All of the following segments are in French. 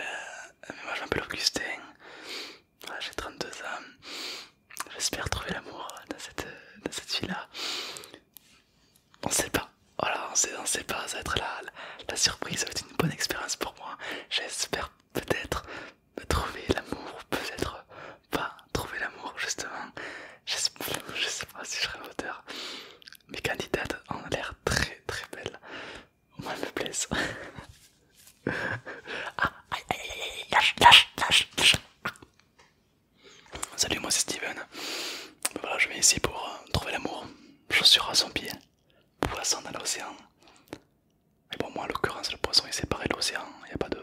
Euh, moi je m'appelle Augustin, j'ai 32 ans, j'espère trouver l'amour dans cette, dans fille-là. On sait pas, voilà, pas, ça va être la, la surprise, ça va être une bonne expérience pour moi. J'espère peut-être trouver l'amour, peut-être pas trouver l'amour justement. Je sais, pas si je serai l'auteur. Mes candidates ont l'air très très belles. moi elles me plaisent. Salut, moi c'est Steven. Voilà, je viens ici pour euh, trouver l'amour. suis à son pied, poisson dans l'océan. Mais bon, moi, en l'occurrence, le poisson est séparé de l'océan. Il a pas de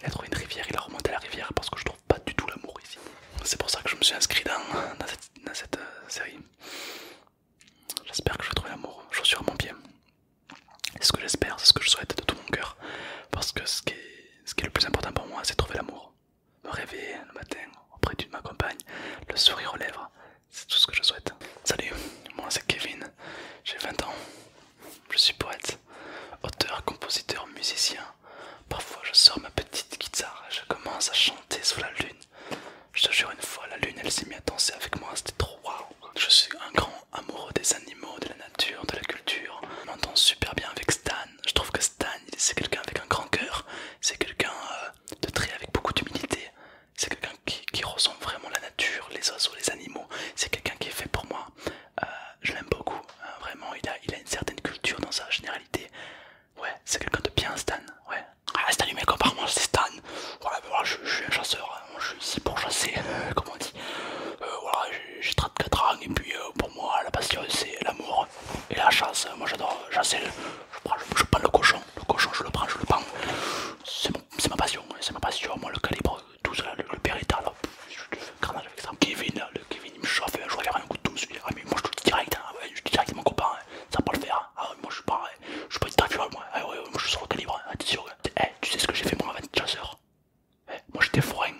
il a trouvé une rivière, il a remonté la rivière parce que je trouve pas du tout l'amour ici. C'est pour ça que je me suis inscrit dans, cette, euh, série. J'espère que je vais trouver l'amour, suis à mon pied. C'est ce que j'espère, c'est ce que je souhaite de tout mon cœur. Parce que ce qui est, ce qui est le plus important pour moi, c'est trouver l'amour. Me réveiller le matin auprès de ma compagne, le sourire aux lèvres, c'est tout ce que je souhaite. Salut, moi c'est Kevin, j'ai 20 ans, je suis poète, auteur, compositeur, musicien. Parfois je sors ma petite guitare et je commence à chanter sous la lune. Je te jure une fois, la lune elle s'est mise à danser avec moi, c'était trop waouh. Je suis un grand amoureux des animaux, de la nature, de la culture. On m'entend super bien avec Stan. Je trouve que Stan c'est quelqu'un avec un grand cœur, c'est quelqu'un euh, de très avec beaucoup d'humilité. C'est quelqu'un qui, ressemble ressent vraiment la nature, les oiseaux, les animaux. C'est quelqu'un qui est fait pour moi. Euh, je l'aime beaucoup, hein, vraiment, il a, une certaine culture dans sa généralité. Ouais, c'est quelqu'un de bien Stan, ouais. Ah, Stan lui moi c'est Stan. Voilà, bah, je, suis un chasseur, hein. je suis ici pour chasser, euh, comme on dit. Euh, voilà, j'ai 34 ans et puis pour moi la passion c'est l'amour et la chasse. Moi j'adore chasser, je prends, je prends le cochon, le cochon je le prends, je le prends. C'est ma passion, c'est ma passion, moi le calibre tout ça, le, périta Beretta là, je te carnage avec ça. Kevin, le Kevin il me chauffe, hein. je regarde un coup de tout, je ah mais moi je te dis direct, hein. je dis direct mon copain, hein. ça va pas le faire, ah ouais moi je suis pas, je suis pas interviewable moi, ah moi je suis sur le calibre, t'es sûr, tu sais ce que j'ai fait pour à de h Moi j'étais forain,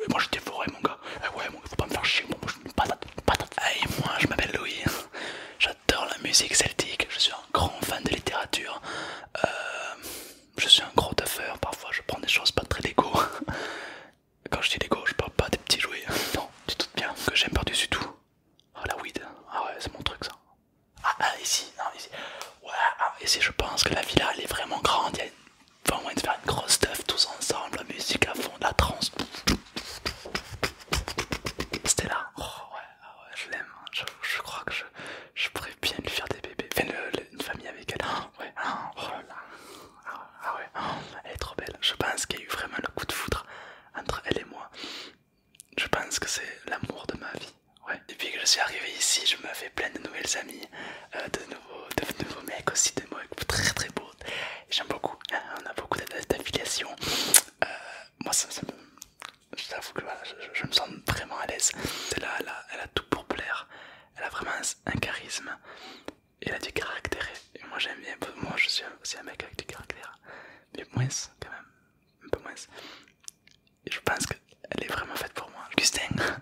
eh, moi j'étais forain mon gars, eh ouais mon faut pas me faire chier, moi, je suis une patate, patate. Eh, moi je m'appelle Louis, j'adore la musique celtique, je suis un grand fan de littérature, euh, je suis un gros taffeur, parfois je prends des choses pas très légaux Quand je dis légaux, je parle pas des petits jouets. Non, tu te doutes bien que j'aime par-dessus tout. Ah la weed, ah ouais, c'est mon truc ça. Ah, ici, ah, non, ici. Ouais, ici je pense que la villa elle est vraiment grande. Il y a enfin, moyen de faire une grosse stuff tous ensemble, la musique à fond, la trance. C'était là. Oh, ouais, ah ouais, je l'aime. Hein. je crois que je, je pourrais bien lui faire des bébés, enfin une famille avec elle. ouais, oh, oh là ah, ouais, elle est trop belle. Je pense qu'il y a eu vraiment le coup de foudre entre elle et moi. Je pense que c'est l'amour de ma vie. Ouais. puis que je suis arrivé ici, je me fais plein de nouvelles amies, euh, de, nouveaux, de, nouveaux mecs aussi, de mecs très très beaux. J'aime beaucoup, on a beaucoup d'affiliations. Euh, moi, ça, Je t'avoue que je, me sens vraiment à l'aise. Elle a, elle, pour plaire. Elle a vraiment un charisme et elle a du caractère. Et moi j'aime bien, moi je suis aussi un mec avec du caractère, mais moins quand même, un peu moins. je pense qu'elle est vraiment faite pour moi. Augustin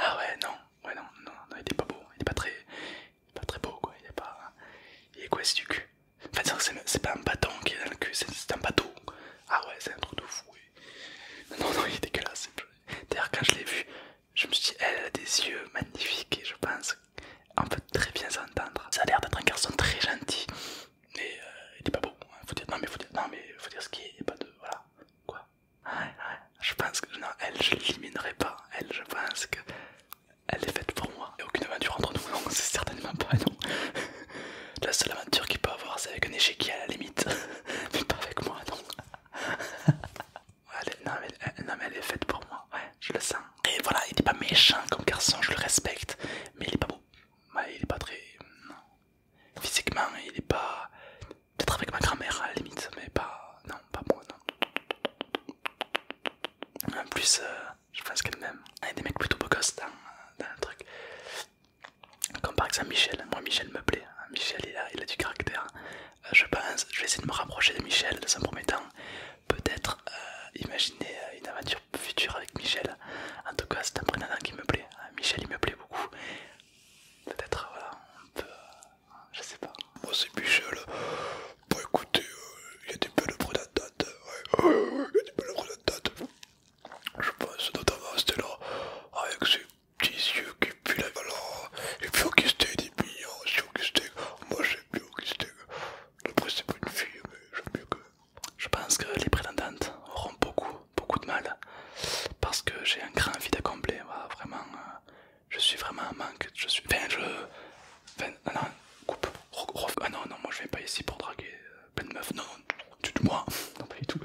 Ah ouais, non, ouais, non, non, il est pas beau, il est pas très, très beau quoi, il est pas. Il est quoi c'est du cul En fait, c'est pas un bâton qui est dans le cul, c'est un bateau. Ah ouais, c'est un truc de fou. Non, non, il est dégueulasse. D'ailleurs, quand je l'ai vu, je me suis dit, elle a des yeux magnifiques et je pense qu'on peut très bien s'entendre. Ça a l'air d'être un garçon très gentil, mais euh, il est pas beau. Hein, faut dire, non, mais faut dire, non, mais faut dire ce qu'il est, pas de. Voilà. Quoi ah, Je pense que. Non, elle, je l'éliminerai pas. Elle, je pense que. Elle est faite pour moi. Et aucune aventure entre nous, non, c'est certainement pas, non. La seule aventure qu'il peut avoir, c'est avec un échiquier à la limite, mais pas avec moi, non. non, mais, elle est faite pour moi, ouais, je le sens. Et voilà, il n'est pas méchant comme garçon, je le respecte, mais il est pas beau. il est pas très. Physiquement, il est pas. Peut-être avec ma grand-mère à la limite, mais pas. Non, pas moi, non. En plus, euh, je pense qu'elle m'aime. Il y a des mecs plutôt beaux gosses dans le truc. Comme par exemple Michel, moi Michel me plaît, hein. Michel il a, il a du caractère. Euh, je pense, je vais essayer de me rapprocher de Michel dans un premier temps. Peut-être euh, imaginer euh, une aventure future avec Michel. En tout cas, c'est un prénatant qui me plaît. Hein. Michel il me plaît beaucoup. Peut-être, voilà, on peut. je sais pas. Moi c'est Michel. Bon écoutez, il y a des belles prénatantes hein. il y a des belles je pense notamment à Stella avec ses petits yeux qui puent la valeur. Et puis puis il est aussi au Augustin. Moi j'aime au Augustin. Après c'est pas une fille, mais j'aime mieux que. Je pense que les prétendantes auront beaucoup, beaucoup de mal. Parce que j'ai un grand vide à combler. vraiment, euh, je suis vraiment en manque. Je suis. Enfin, je. Enfin, non, non, coupe. Ah non, non, moi je viens pas ici pour draguer. Euh, plein de meufs, non, tu dis moi, non pas du tout.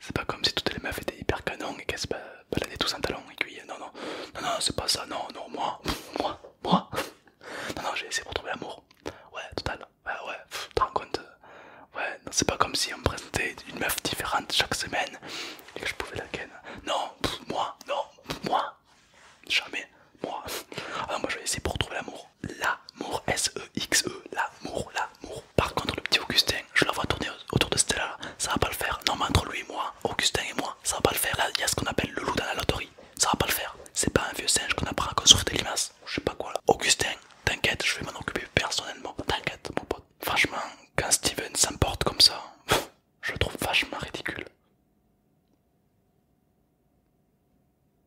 C'est pas comme si toutes les meufs étaient hyper canon et qu'elles se baladaient tous en talons non, non, non, non, c'est pas ça, non, non, moi, moi, moi, non, non, j'ai essayé pour trouver l'amour, ouais, total, ouais, ouais, tu te rends compte, euh, ouais, c'est pas comme si on me présentait une meuf différente chaque semaine et que je pouvais la ken, non, moi, non, moi, jamais, moi, alors ah, moi je vais essayer pour trouver l'amour l'amour, S-E-X-E, l'amour, l'amour. Par contre, le petit Augustin, je la vois tourner autour de Stella, ça va pas le faire. Non, mais entre lui et moi, Augustin et moi, ça va pas le faire. Là, il y a ce qu'on appelle le loup dans la loterie, ça va pas le faire. C'est pas un vieux singe qu'on apprend à construire des limaces, je sais pas quoi là. Augustin, t'inquiète, je vais m'en occuper personnellement. T'inquiète, mon pote. Franchement, quand Steven s'emporte comme ça, je trouve vachement ridicule.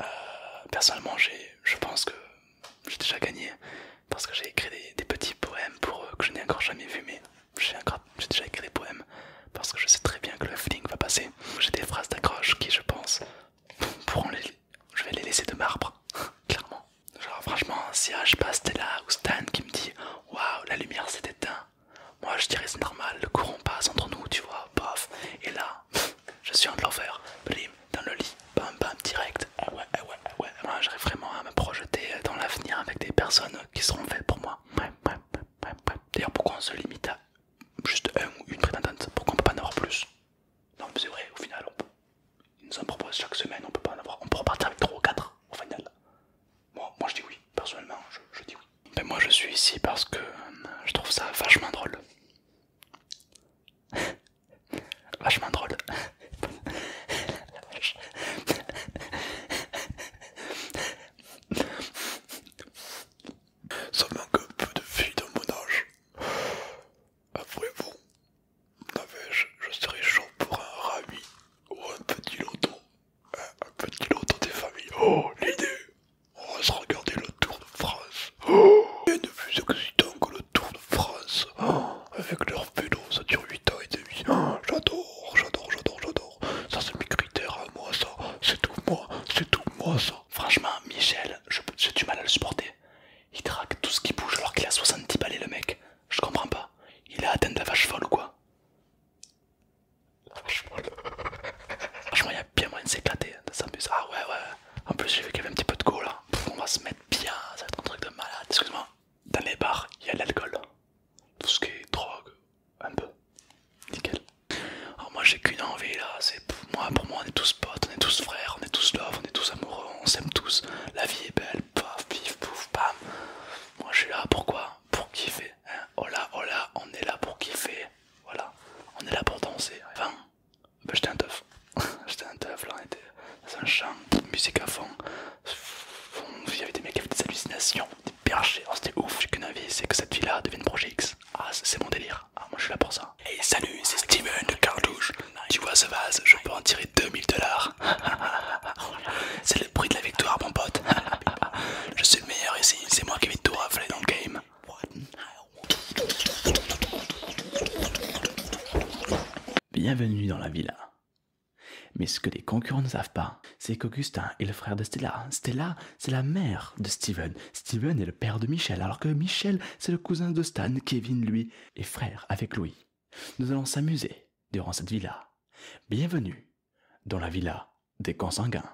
euh, personnellement personnellement, je pense que j'ai déjà gagné parce que j'ai écrit des, petits poèmes pour eux que je n'ai encore jamais vu, mais j'ai déjà écrit des poèmes parce que je sais très bien que le flingue va passer. J'ai des phrases d'accroche qui, je pense, pourront les. Je vais les laisser de marbre, clairement. Genre, franchement, si je passe, t'es là, ou Stan qui me dit Waouh, la lumière s'est éteinte. Moi je dirais c'est normal, le courant passe entre nous, tu vois, paf. Et là, je suis en l'enfer, blim, dans le lit, bam bam, direct. Ah ouais, ah ouais, ah ouais. Moi j'arrive vraiment à me projeter dans l'avenir avec des personnes qui seront faites pour moi. D'ailleurs, pourquoi on se limite à juste un ou une prétendante Pourquoi on peut pas en avoir plus Non, mais c'est vrai, au final, ils nous en proposent chaque semaine, on peut pas en avoir. On peut repartir avec 3 ou 4 au final. Moi, je dis oui, personnellement, je dis oui. Mais moi je suis ici parce que euh, je trouve ça vachement drôle. vachement drôle. Ça manque un peu de filles dans mon âge. Après vous, je, je serais chaud pour un rami ou un petit loto Un, petit loto des familles. Oh, l'idée on va se regarder le Tour de France. Oh, rien de plus excitant que le Tour de France. Oh avec leur vélo, ça dure 8 ans et demi. Oh j'adore, j'adore, j'adore, j'adore. Ça c'est mes critères à moi, ça. C'est tout moi, c'est tout moi, ça. Franchement, Michel, j'ai du mal à le supporter. Il traque tout ce qui bouge alors qu'il a 70 balais le mec. Je comprends pas. Il a atteint de la vache folle ou quoi Franchement, il y a bien moyen de s'éclater, hein, de s'amuser. Ah ouais, ouais. En plus, j'ai vu qu'il y avait un petit peu de go là. on va se mettre bien, ça va être un truc de malade. Excuse-moi, dans les bars, il y a l'alcool. Tout ce qui est drogue, un peu. Nickel. Alors, moi, j'ai qu'une envie là. C'est moi, pour moi, on est tous potes, on est tous frères, on est tous love, on est tous amoureux, on s'aime tous. La vie est belle, paf, pif, pouf, bam. Moi, je suis là, pourquoi Pour kiffer. hola hein. oh, oh on est là pour kiffer. Voilà, on est là pour danser. Enfin, j'étais un teuf. j'étais un teuf, là on était dans un champ, musique à fond. Il y avait des mecs qui avaient des hallucinations, des perchés, oh, c'était ouf. J'ai qu'une avis, c'est que cette villa là devienne projet X. Ah, c'est mon délire. Ah, moi je suis là pour ça. Et salut, c'est Steven de Cartouche. Tu vois ce vase, je peux en tirer 2000 dollars. c'est le prix de la victoire, mon pote. je meilleur ici, c'est moi qui vais tout rafler dans le game. Bienvenue dans la villa. Mais ce que les concurrents ne savent pas, c'est qu'Augustin est le frère de Stella. Stella, c'est la mère de Steven. Steven est le père de Michel, alors que Michel, c'est le cousin de Stan. Kevin, lui, est frère avec Louis. Nous allons s'amuser durant cette villa. Bienvenue dans la villa des consanguins.